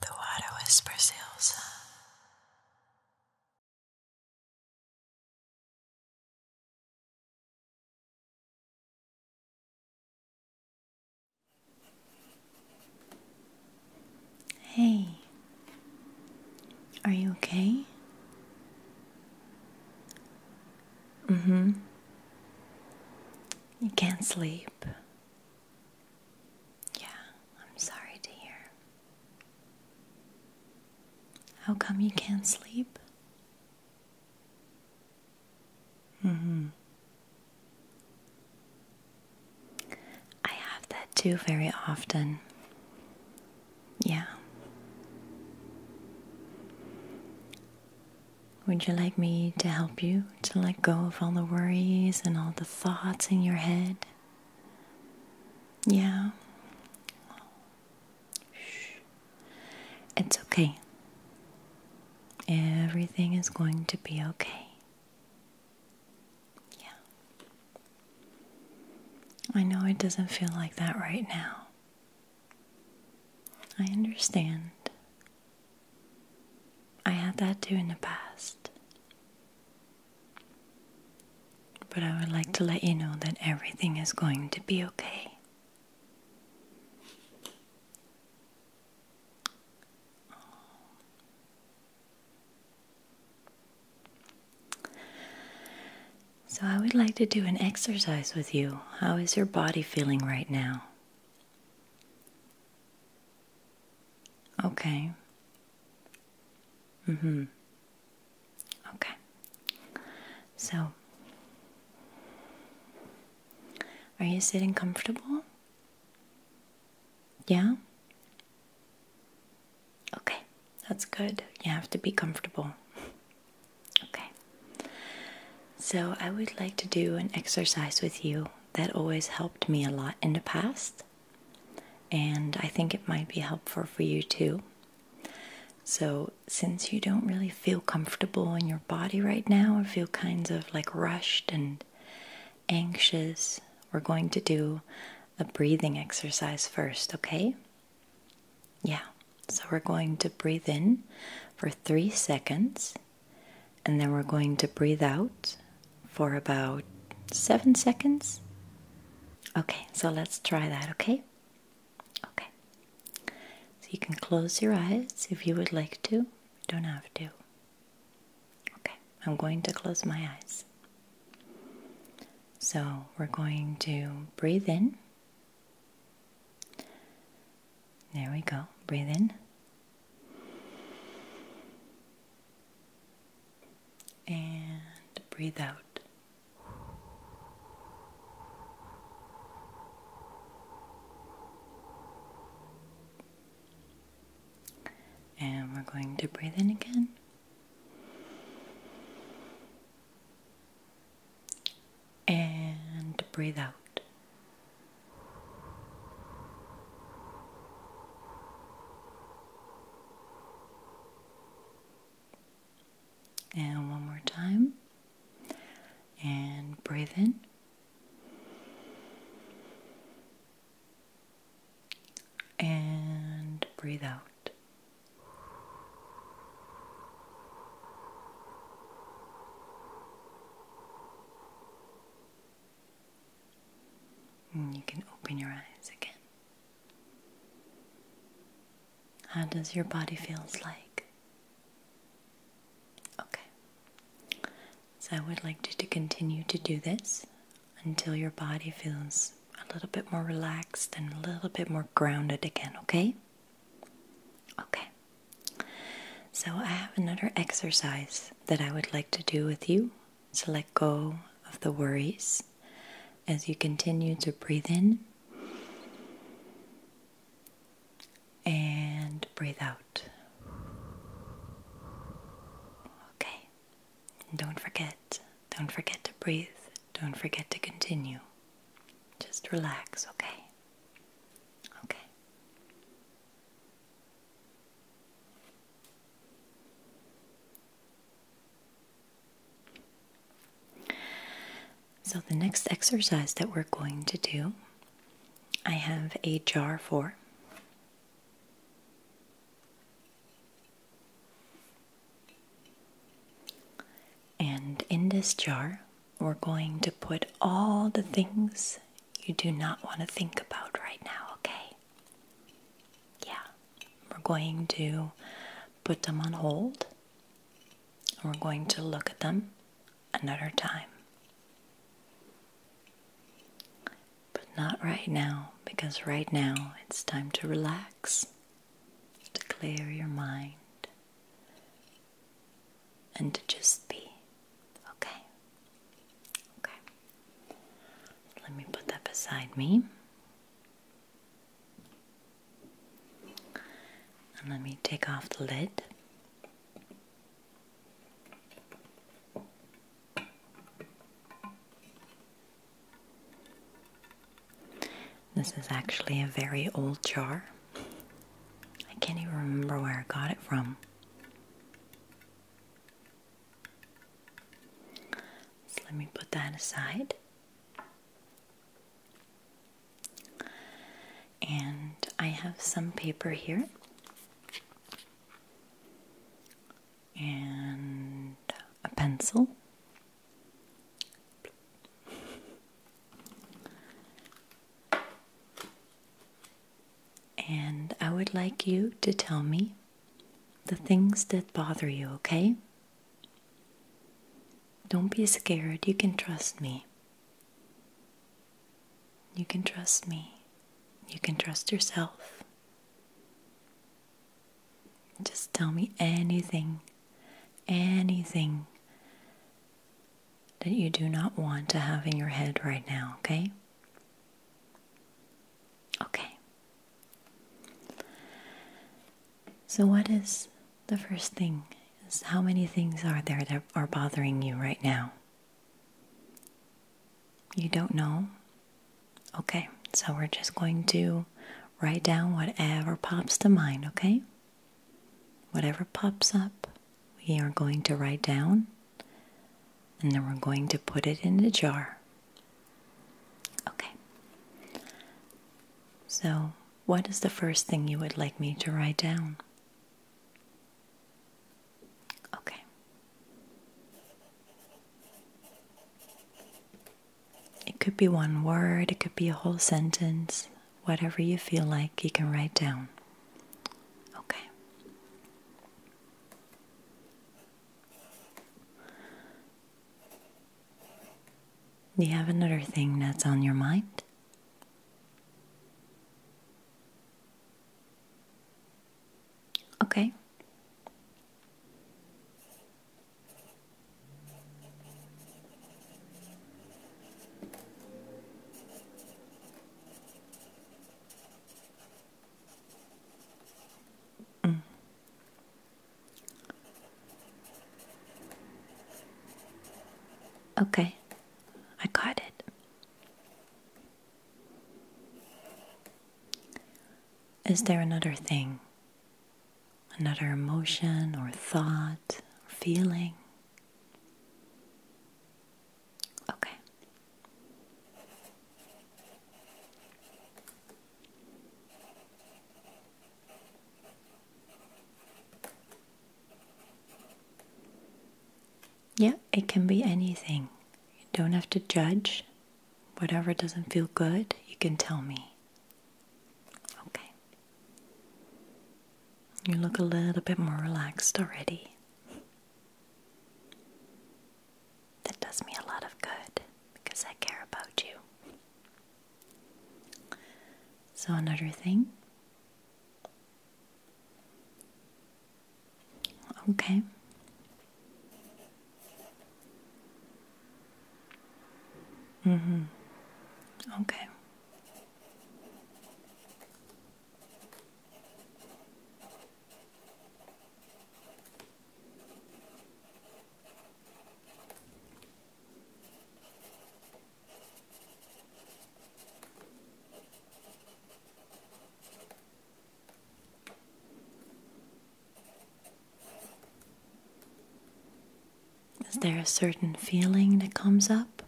The water whispers Elsa. Hey, are you okay? Mm hmm. You can't sleep. Yeah, I'm sorry to hear. How come you can't sleep? Mm-hmm. I have that too very often. Yeah. Would you like me to help you? to let go of all the worries and all the thoughts in your head. Yeah. It's okay. Everything is going to be okay. Yeah. I know it doesn't feel like that right now. I understand. I had that too in the past. But I would like to let you know that everything is going to be okay. So, I would like to do an exercise with you. How is your body feeling right now? Okay. Mm hmm. Okay. So, are you sitting comfortable? Yeah? Okay, that's good. You have to be comfortable. Okay. So, I would like to do an exercise with you that always helped me a lot in the past, and I think it might be helpful for you too. So, since you don't really feel comfortable in your body right now or feel kinds of like rushed and anxious, we're going to do a breathing exercise first, okay? Yeah, so we're going to breathe in for three seconds and then we're going to breathe out for about seven seconds. Okay, so let's try that, okay? Okay. So you can close your eyes if you would like to. don't have to. Okay, I'm going to close my eyes. So we're going to breathe in. There we go. Breathe in and breathe out. And we're going to breathe in again. And breathe out. And one more time. And breathe in. And breathe out you can open your eyes again. How does your body feels like? Okay. So I would like you to continue to do this until your body feels a little bit more relaxed and a little bit more grounded again, okay? Okay. So I have another exercise that I would like to do with you is let go of the worries as you continue to breathe in and breathe out. Okay. Don't forget. Don't forget to breathe. Don't forget to continue. Just relax, okay? Okay. So, the next exercise that we're going to do, I have a jar for. And in this jar, we're going to put all the things you do not want to think about right now, okay? Yeah, we're going to put them on hold. We're going to look at them another time. But not right now, because right now it's time to relax, to clear your mind, and to just be. Okay. Okay. Let me put that beside me. And let me take off the lid. This is actually a very old jar. I can't even remember where I got it from. So let me put that aside. And I have some paper here. And a pencil. And I would like you to tell me the things that bother you, okay? Don't be scared. You can trust me. You can trust me. You can trust yourself. Just tell me anything, anything that you do not want to have in your head right now, okay? Okay. So, what is the first thing? Is how many things are there that are bothering you right now? You don't know? Okay, so we're just going to write down whatever pops to mind, okay? Whatever pops up, we are going to write down and then we're going to put it in a jar. Okay. So, what is the first thing you would like me to write down? Okay. It could be one word, it could be a whole sentence, whatever you feel like, you can write down. Okay. Do you have another thing that's on your mind? Okay. Mm. Okay, I got it. Is there another thing, another emotion or thought feeling? Okay. Yeah, it can be anything. You don't have to judge. Whatever doesn't feel good, you can tell me. Okay. You look a little bit more relaxed already. That does me a lot of good because I care about you. So, another thing. Okay. Mm-hmm. Okay. Is there a certain feeling that comes up?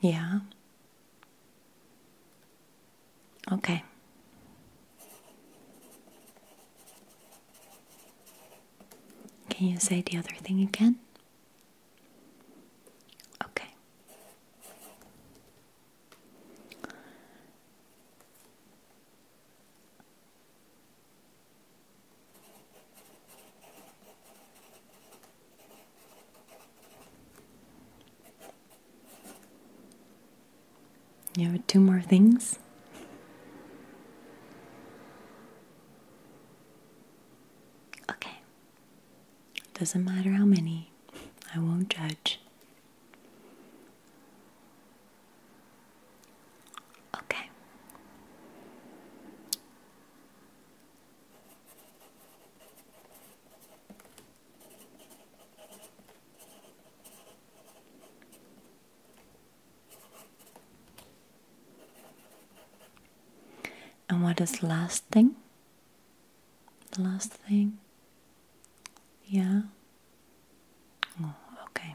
Yeah? Okay. Can you say the other thing again? Okay. You have two more things. Okay. Doesn't matter how many, I won't judge. Okay. And what is last thing? last thing? Yeah. Oh, okay.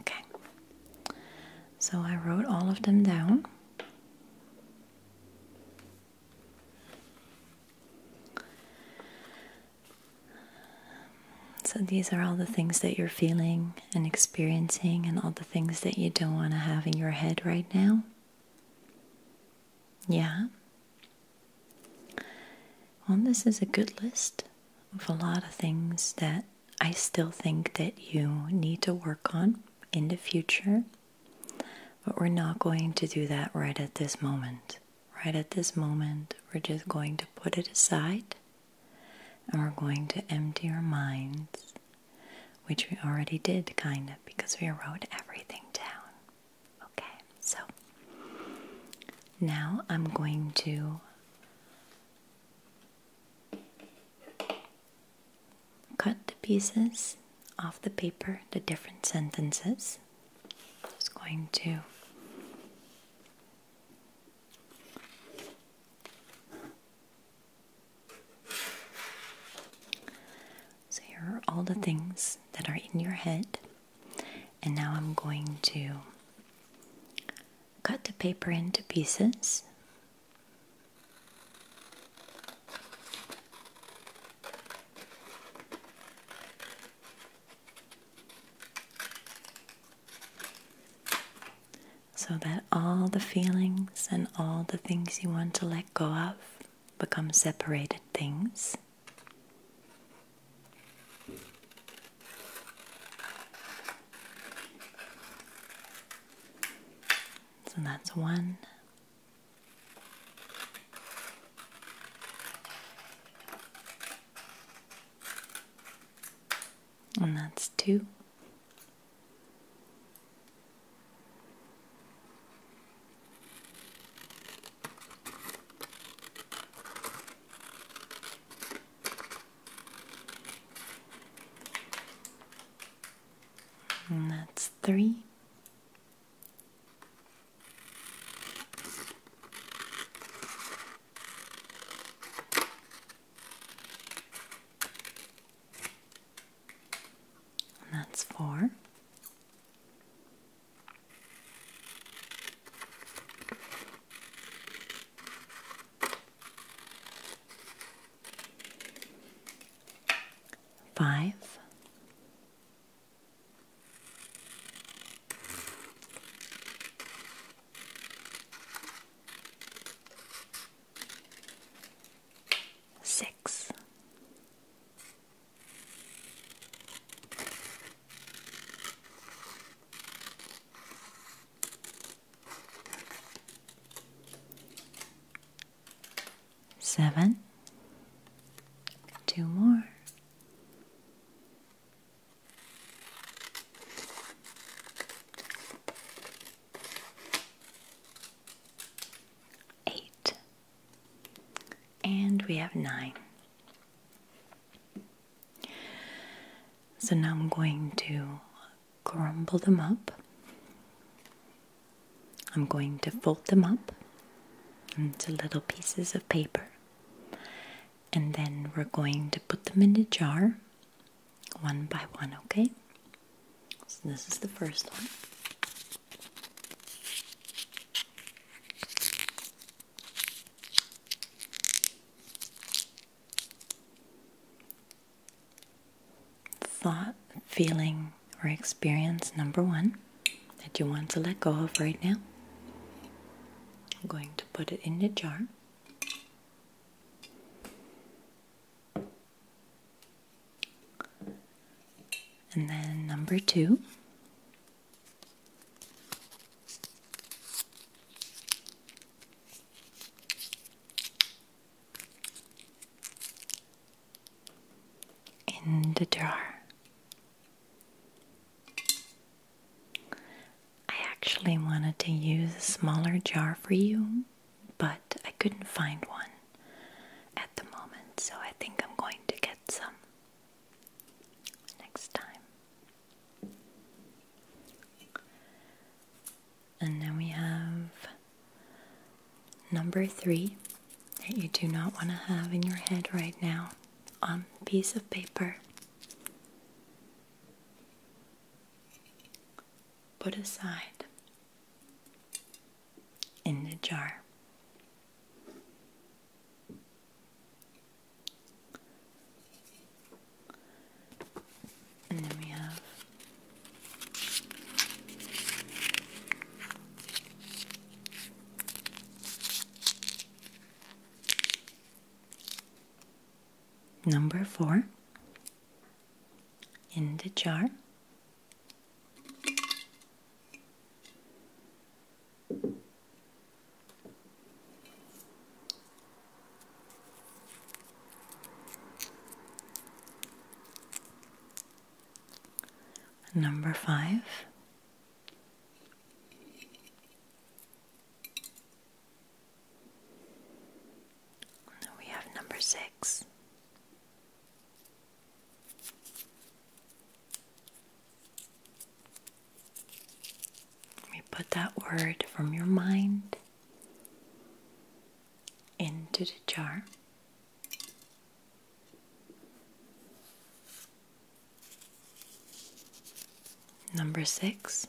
Okay, so I wrote all of them down. So, these are all the things that you're feeling and experiencing, and all the things that you don't want to have in your head right now. Yeah. Well, this is a good list of a lot of things that I still think that you need to work on in the future, but we're not going to do that right at this moment. Right at this moment, we're just going to put it aside and we're going to empty our minds, which we already did, kind of, because we wrote everything down. Okay, so now I'm going to Cut the pieces off the paper, the different sentences. I'm Just going to So here are all the things that are in your head. And now I'm going to cut the paper into pieces. So that all the feelings and all the things you want to let go of become separated things. So that's one. And that's two that's three. And that's four. Five. Six. Seven, two more, eight, and we have nine. So now I'm going to crumble them up. I'm going to fold them up into little pieces of paper and then we're going to put them in the jar one by one, okay? So this is the first one thought, feeling, or experience number one that you want to let go of right now. I'm going to put it in the jar. And then number two in the jar. I actually wanted to use a smaller jar for you, but I couldn't find one at the moment, so I think I'm going to get some next time. And then we have number three that you do not want to have in your head right now on a piece of paper. Put aside in the jar. And then we have number four in the jar. Number five. We have number six. We put that word from your mind into the jar. Number six.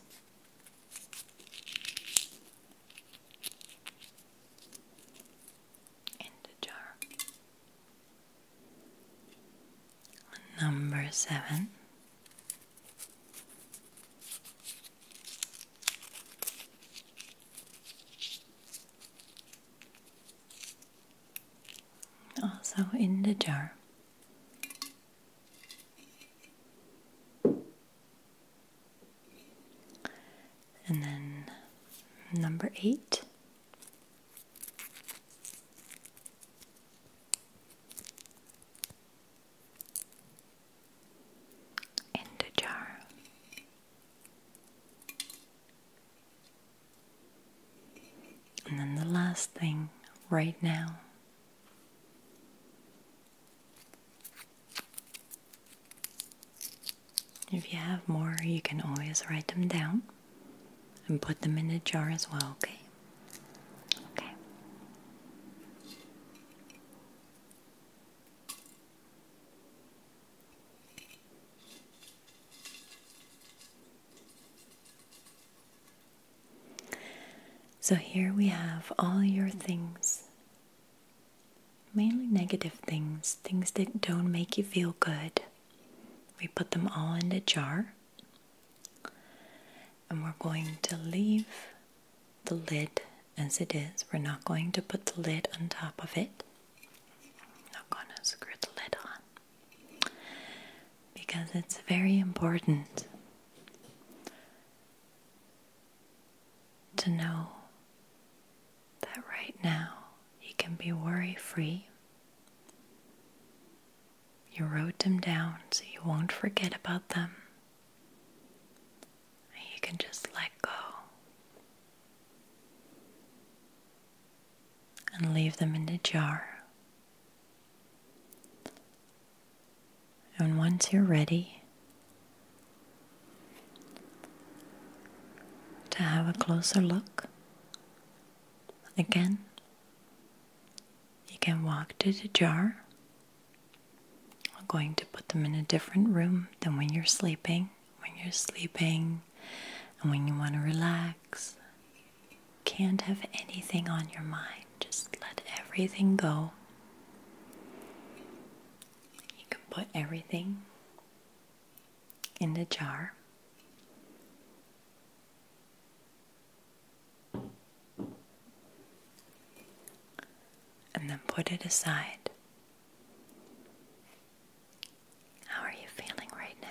In the jar. Number seven. Also in the jar. And then number eight in the jar. And then the last thing right now. If you have more, you can always write them down and put them in the jar as well, okay? Okay. So here we have all your things, mainly negative things, things that don't make you feel good. We put them all in the jar and we're going to leave the lid as it is. We're not going to put the lid on top of it. not going to screw the lid on because it's very important to know that right now you can be worry free. You wrote them down so you won't forget about them. You can just let go and leave them in the jar. And once you're ready to have a closer look, again, you can walk to the jar I'm going to put them in a different room than when you're sleeping. When you're sleeping and when you want to relax, can't have anything on your mind. Just let everything go. You can put everything in the jar and then put it aside. How are you feeling right now?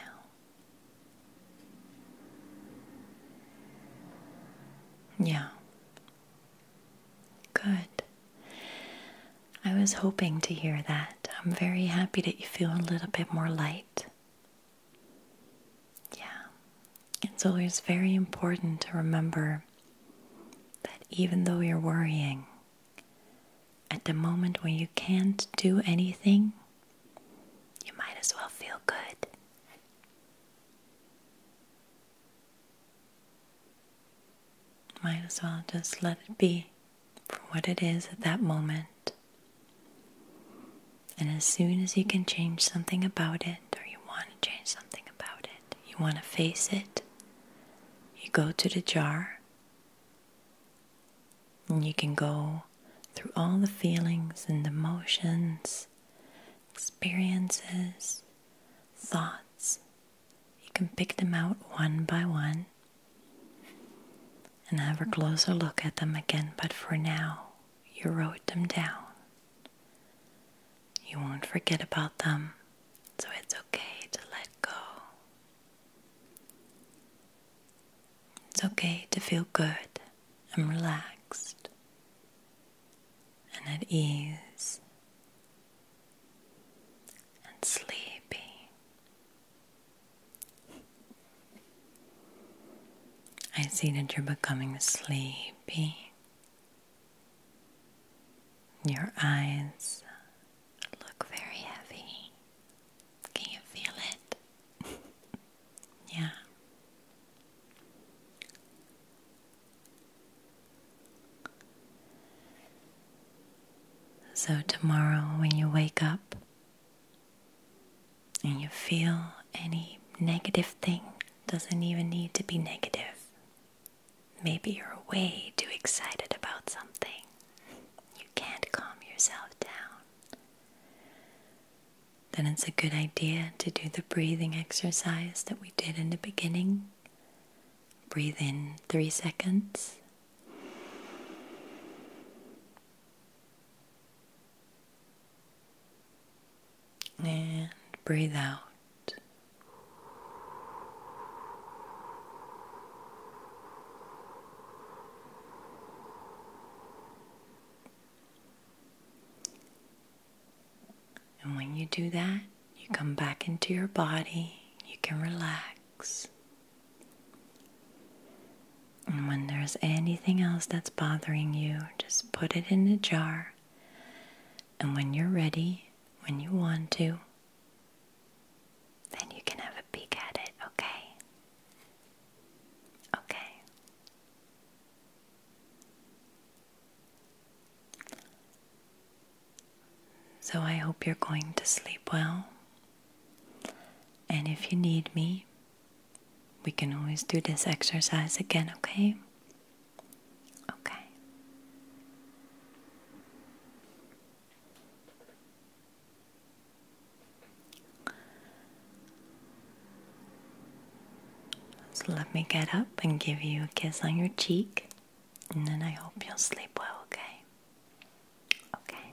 Yeah. Good. I was hoping to hear that. I'm very happy that you feel a little bit more light. Yeah, it's always very important to remember that even though you're worrying, at the moment when you can't do anything, you might as well feel good. Might as well just let it be for what it is at that moment. And as soon as you can change something about it, or you want to change something about it, you want to face it, you go to the jar and you can go through all the feelings and emotions, experiences, thoughts. You can pick them out one by one and have a closer look at them again, but for now, you wrote them down. You won't forget about them, so it's okay to let go. It's okay to feel good and relaxed and at ease and sleepy. I see that you're becoming sleepy your eyes look very heavy. Can you feel it? yeah. So, tomorrow when you wake up and you feel any negative thing, doesn't even need to be negative, Maybe you're way too excited about something. You can't calm yourself down. Then it's a good idea to do the breathing exercise that we did in the beginning. Breathe in three seconds and breathe out. And when you do that, you come back into your body, you can relax. And when there's anything else that's bothering you, just put it in a jar. And when you're ready, when you want to, then you can have a peek at it, okay? Okay. So I hope you're going to sleep well. And if you need me, we can always do this exercise again, okay? Okay. So let me get up and give you a kiss on your cheek, and then I hope you'll sleep well, okay? Okay.